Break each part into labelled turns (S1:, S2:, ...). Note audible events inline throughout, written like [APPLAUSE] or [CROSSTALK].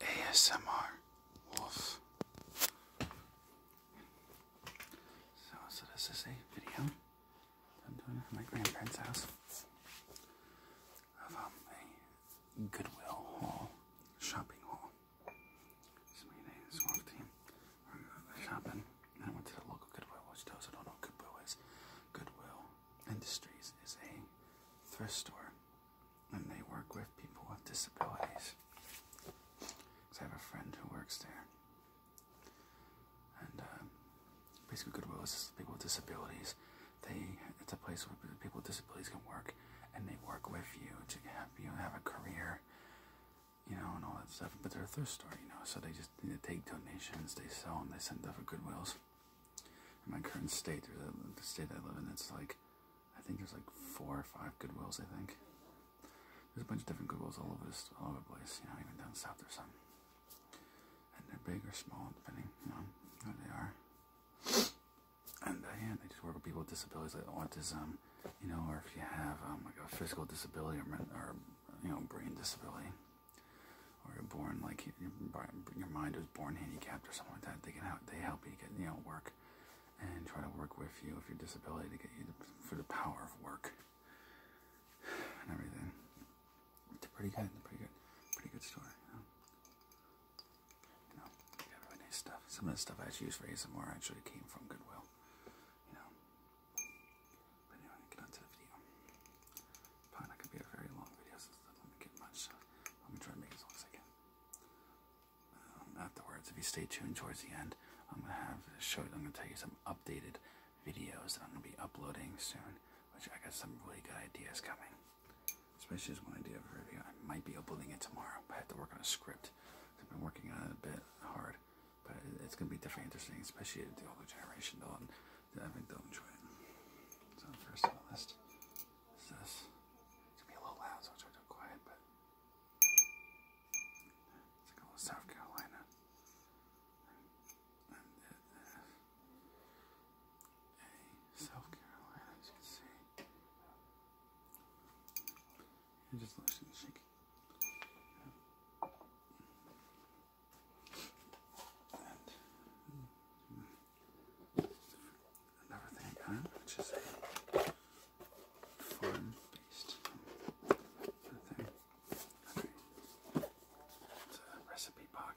S1: ASMR Wolf. So, so this is a video I'm doing at my grandparents' house of um, a Goodwill haul, shopping haul. So my name is Wolf Team. shopping, and I went to the local Goodwill, which those who don't know what Goodwill is. Goodwill Industries is a thrift store and they work with people with disabilities. Cause I have a friend who works there, and uh, basically Goodwill is people with disabilities. They it's a place where people with disabilities can work, and they work with you to have you have a career, you know, and all that stuff. But they're a thrift store, you know, so they just they take donations, they sell them, they send them for Goodwills in my current state, or the state I live in, it's like, I think there's like four or five Goodwills, I think. There's a bunch of different Goodwills all over, this, all over the place, you know, even down south there's some. And they're big or small, depending, you know, what they are. And uh, they just work with people with disabilities like autism, you know, or if you have um, like a physical disability or, or you know, brain disability or born like your mind was born handicapped or something like that. They can help. you get you know work, and try to work with you if your disability to get you for the power of work [SIGHS] and everything. It's pretty good. Pretty good. Pretty good story. You know, Some of the stuff I use for you some more actually came from Goodwill. You know. But anyway, get on to the video. Probably not gonna be a very long video, so it get much. Uh, let me try to make it as long as I can. afterwards, if you stay tuned towards the end, I'm gonna have show. I'm gonna tell you some updated videos that I'm gonna be uploading soon. Which I got some really good ideas coming. Especially this one idea for a review. I might be uploading it tomorrow. I have to work on a script. I've been working on it a bit hard, but it's gonna be definitely interesting, especially the older generation. don't, I think they'll enjoy it. So first on the list this? It's gonna be a little loud, so I'll try to quiet, but it's like a little South Carolina. South Carolina, as you can see. And just listen to shake another thing I got, which is a farm thing. It's a recipe box.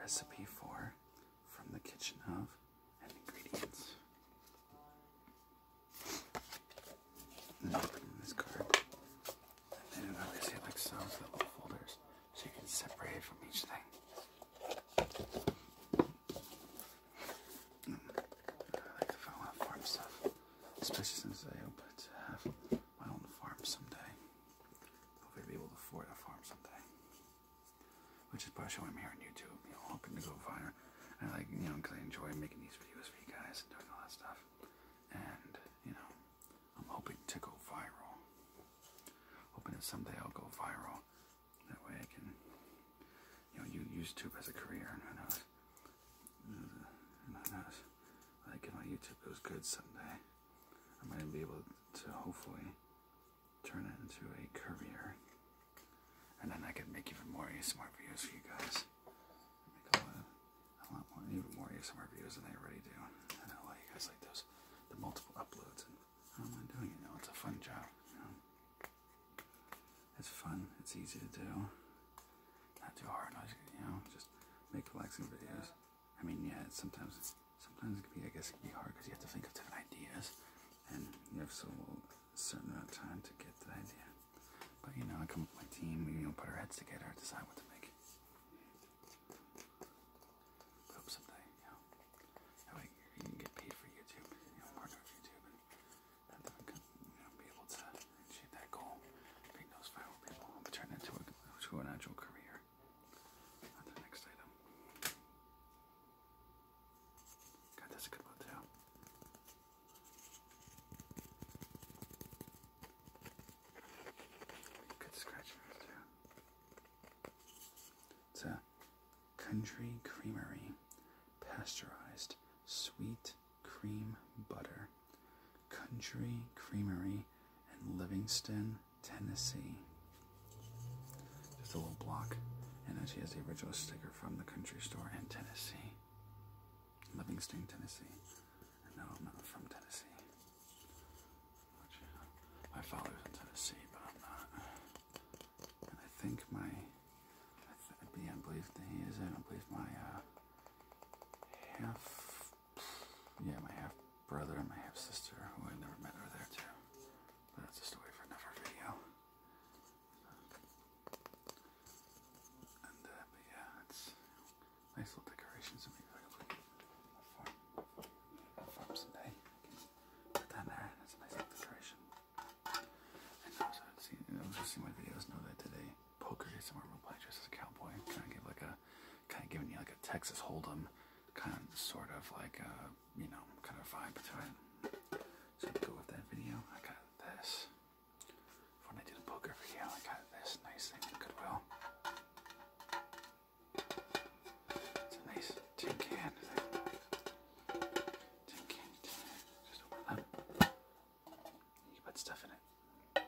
S1: recipe for from the kitchen of and ingredients. And mm, in this card. And then obviously like little folders so you can separate it from each thing. I like the farm, stuff, especially since I hope to have my own farm someday. Hopefully, be able to afford a farm someday. Which is why I'm here on YouTube, you know, hoping to go fire. I like, you know, because I enjoy making these videos for you guys and doing all that stuff. And, you know, I'm hoping to go viral. Hoping that someday I'll go viral that way I can, you know, use YouTube as a career, and who knows, and who knows, like if my YouTube goes good someday, I might be able to hopefully turn it into a career, and then I could make even more ASMR videos for you guys. Make a lot, I want even more videos than I already do, and lot of you guys like those, the multiple uploads how am I doing it? Oh, it's a fun job. It's fun. It's easy to do. Not too hard. Not, you know, just make relaxing videos. I mean, yeah, it's sometimes sometimes it can be, I guess, it can be hard because you have to think of different ideas, and you have so a certain amount of time to get the idea. But you know, I come with my team. We you put our heads together, decide what to make put up something, you know. That way you can get paid for YouTube, you know, partner with YouTube, and that way you know, be able to achieve that goal. Being those viral people, turn into a, to an actual career. On the next item. God, that's good one too. Good scratchers too. It's Country Creamery Pasteurized Sweet Cream Butter. Country Creamery in Livingston, Tennessee. Just a little block. And then she has the original sticker from the country store in Tennessee. Livingston, Tennessee. And no, I'm not from Tennessee. My father was in Tennessee, but I'm not. And I think my, I, th I believe that he is in. I believe my uh, half, yeah, my half brother and my half sister, who I never met, over there too. But that's a story for another video. And uh, but yeah, it's nice little decorations. So maybe I can leave a farm, a farm put that in there, and it's a nice little decoration. And those I've seen, I was just my videos know that today, poker is somewhere we'll play just as a cowboy, kind of give like a, kind of giving you like a Texas Hold'em, kind of sort of like a, uh, you know, kind of vibe to it. So to go with that video, I got this. When I do the poker video, I got this nice thing in Goodwill. It's a nice tin can. Tin can, tin can. Just open it You put stuff in it.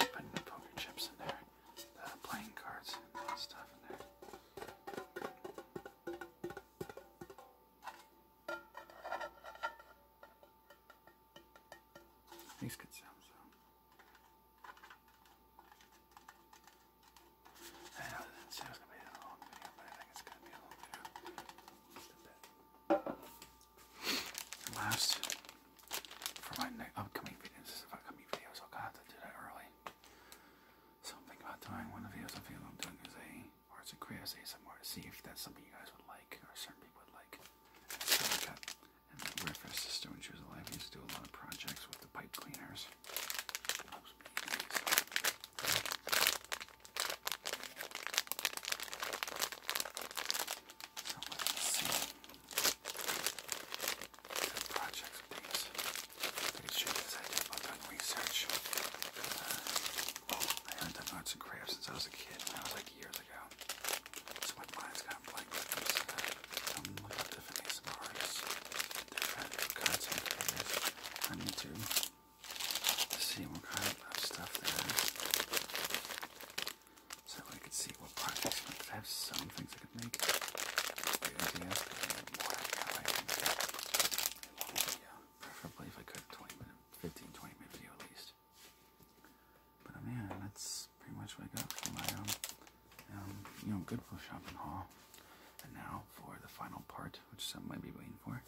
S1: you put poker chips in there, playing cards, stuff in there. These good sounds I know didn't say it was going to be a long video, but I uh, think it's going to be a long video. last, uh, for my upcoming videos, upcoming videos, I'll have to do that early. Something about doing one of the videos I'm doing is a arts and crafts ASMR to see if that's something you guys would like or certain people would like. Uh, and my welfare sister, when she was alive, used to do a lot of projects with the pipe cleaners. projects with I did a done research. Uh, oh, I have done arts and crafts since I was a kid. That was like years ago i of like at uh, different ASMR artists. they to see what kind of stuff they have. So I could see what projects I have some things I could make. The I think yeah, preferably if I could 20 minute 15, 20 minute video at least. But I that's pretty much what I got for my um, um, you know good Goodwill shopping haul. And now for the final part, which some might be waiting for,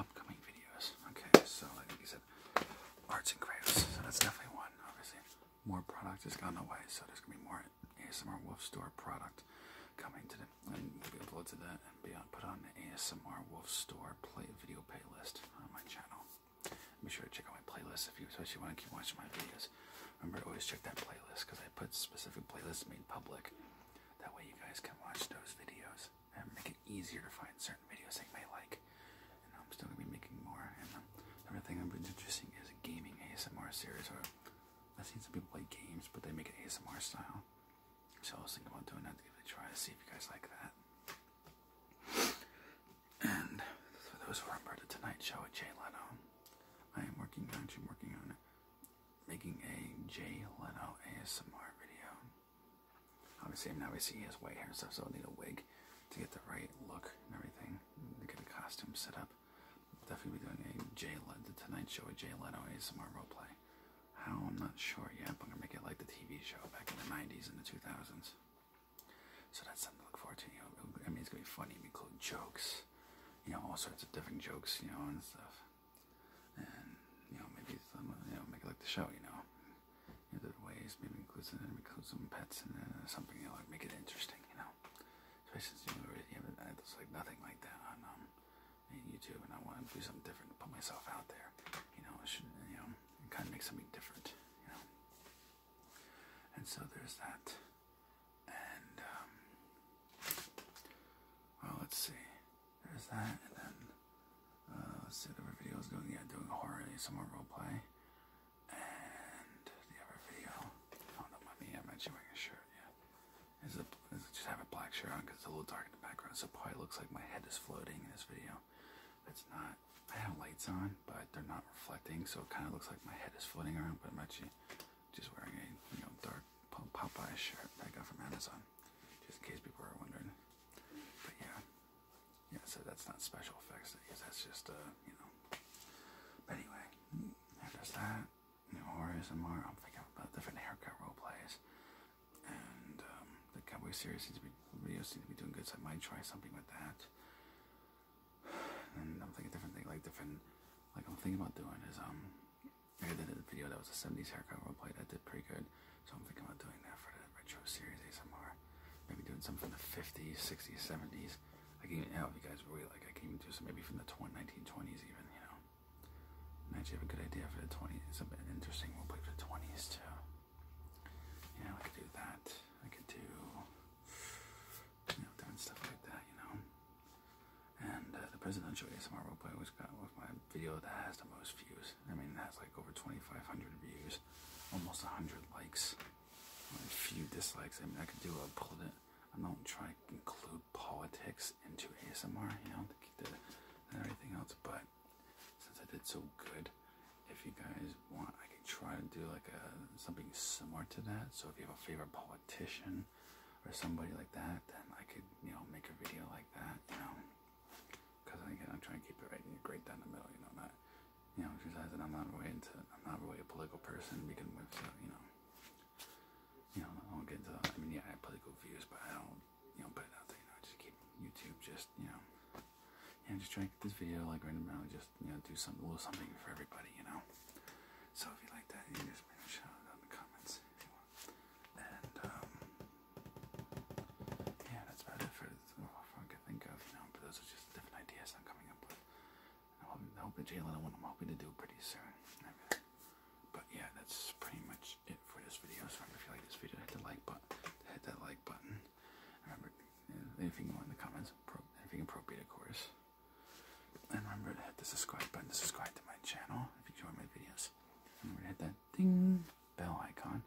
S1: upcoming videos. Okay, so like you said, arts and crafts. So that's definitely one. Obviously, more product has gone away, so there's gonna be more ASMR Wolf Store product coming today. them, and we'll be uploaded to that and be on, put on the ASMR Wolf Store play video playlist on my channel. Be sure to check out my playlist if you especially want to keep watching my videos. Remember to always check that playlist because I put specific playlists made public. That way you guys can watch those videos and make it easier to find certain videos that you may like. And I'm still gonna be making more. And everything um, I'm interesting is a gaming ASMR series. Or I've seen some people play games, but they make it ASMR style. So I was thinking about doing that to give it a try to see if you guys like that. And for those who are on the Tonight Show with Jay Leno, I am working on, actually working on making a Jay Leno ASMR video. Obviously, now we see he has white hair and stuff, so I will need a wig to get the right look and everything, to get a costume set up. definitely be doing a Jay Leno, the Tonight Show with Jay Leno ASMR roleplay. How, I'm not sure yet, I'm gonna make it like the TV show back in the 90s and the 2000s. So that's something to look forward to. You know, I mean, it's gonna be funny. We include jokes, you know, all sorts of different jokes, you know, and stuff. And you know, maybe some, you know, make it like the show, you know, in other ways. Maybe include some, include some pets and something, you know, make it interesting, you know. Especially since you already have it, it's uh, like nothing like that on um, YouTube, and I want to do something different, put myself out there, you know, should, you know, kind of make something different, you know. And so there's that. And, um, well, let's see. There's that, and then, uh, let's see what other video is doing. Yeah, doing a horror, some more roleplay. And the other video, oh no, mommy, I'm actually wearing a shirt, yeah. Is it, is it just have a black shirt on because it's a little dark in the background, so probably looks like my head is floating in this video. It's not. I have lights on, but they're not reflecting, so it kind of looks like my head is floating around. But I'm actually just wearing a you know dark Popeye shirt that I got from Amazon, just in case people are wondering. But yeah, yeah. So that's not special effects. That is, just a uh, you know. But anyway, there's that. You know, or ASMR. I'm thinking about different haircut role plays, and um, the Cowboy series seems to be videos seem to be doing good. So I might try something with that and I'm thinking different thing, like different, like I'm thinking about doing is um, I did a video that was a '70s haircut roleplay that did pretty good, so I'm thinking about doing that for the retro series ASMR. Maybe doing something from the '50s, '60s, '70s. I can even, hell, if you guys really like, I can even do some maybe from the 1920s even, you know. I actually have a good idea for the 20s, some interesting roleplay for the 20s too. Yeah, I could do that. I could do you know, doing stuff like that, you know. And uh, the presidential ASMR roleplay was my video that has the most views. I mean, that's like over 2,500 views, almost 100 likes, a few dislikes. I mean, I could do a pull it. I don't try to include politics into ASMR, you know, to keep the everything else. But since I did so good if you guys want, I could try to do like a something similar to that. So if you have a favorite politician or somebody like that, then I could you know make a video like that, you know. Because again, I'm trying to keep it right, great down the middle, you know, not you know, because that I'm not really into, I'm not really a political person We can with, so you know, you know, I don't get into, I mean, yeah, I have political views, but I don't, you know, put it out there, you know, I just keep YouTube, just you know, yeah, just try to get this video like right now, just you know do something a little something for everybody, you know. So if you like that, you just make a shout out in the comments if you want. And um, yeah, that's about it for what I can think of, you know. But those are just different ideas I'm coming up with. I hope, I hope Jalen, I'm hoping to do pretty soon. But yeah, that's pretty much it for this video. So if you like this video, hit the like button. Hit that like button anything more in the comments, anything appropriate, of course. And remember to hit the subscribe button to subscribe to my channel if you enjoy my videos. And remember to hit that ding bell icon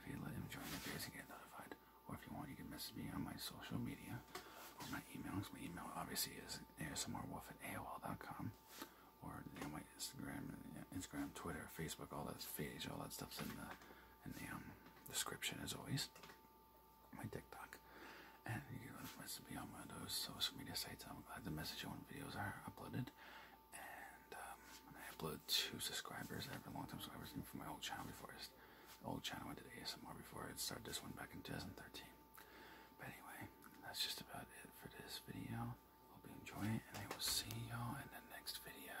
S1: if you let him join the videos and get notified. Or if you want, you can message me on my social media or my email. My email obviously is asmrwolf or my Instagram, Instagram, Twitter, Facebook, all that all that stuff's in there in the um, description as always. My TikTok. And you can message me on one of those social media sites. I'm glad the message you videos are uploaded. And um, I upload two subscribers. I have a long time subscribers from my old channel before I old channel I did ASMR before I started this one back in 2013. But anyway, that's just about it for this video. Hope you enjoy it and I will see y'all in the next video.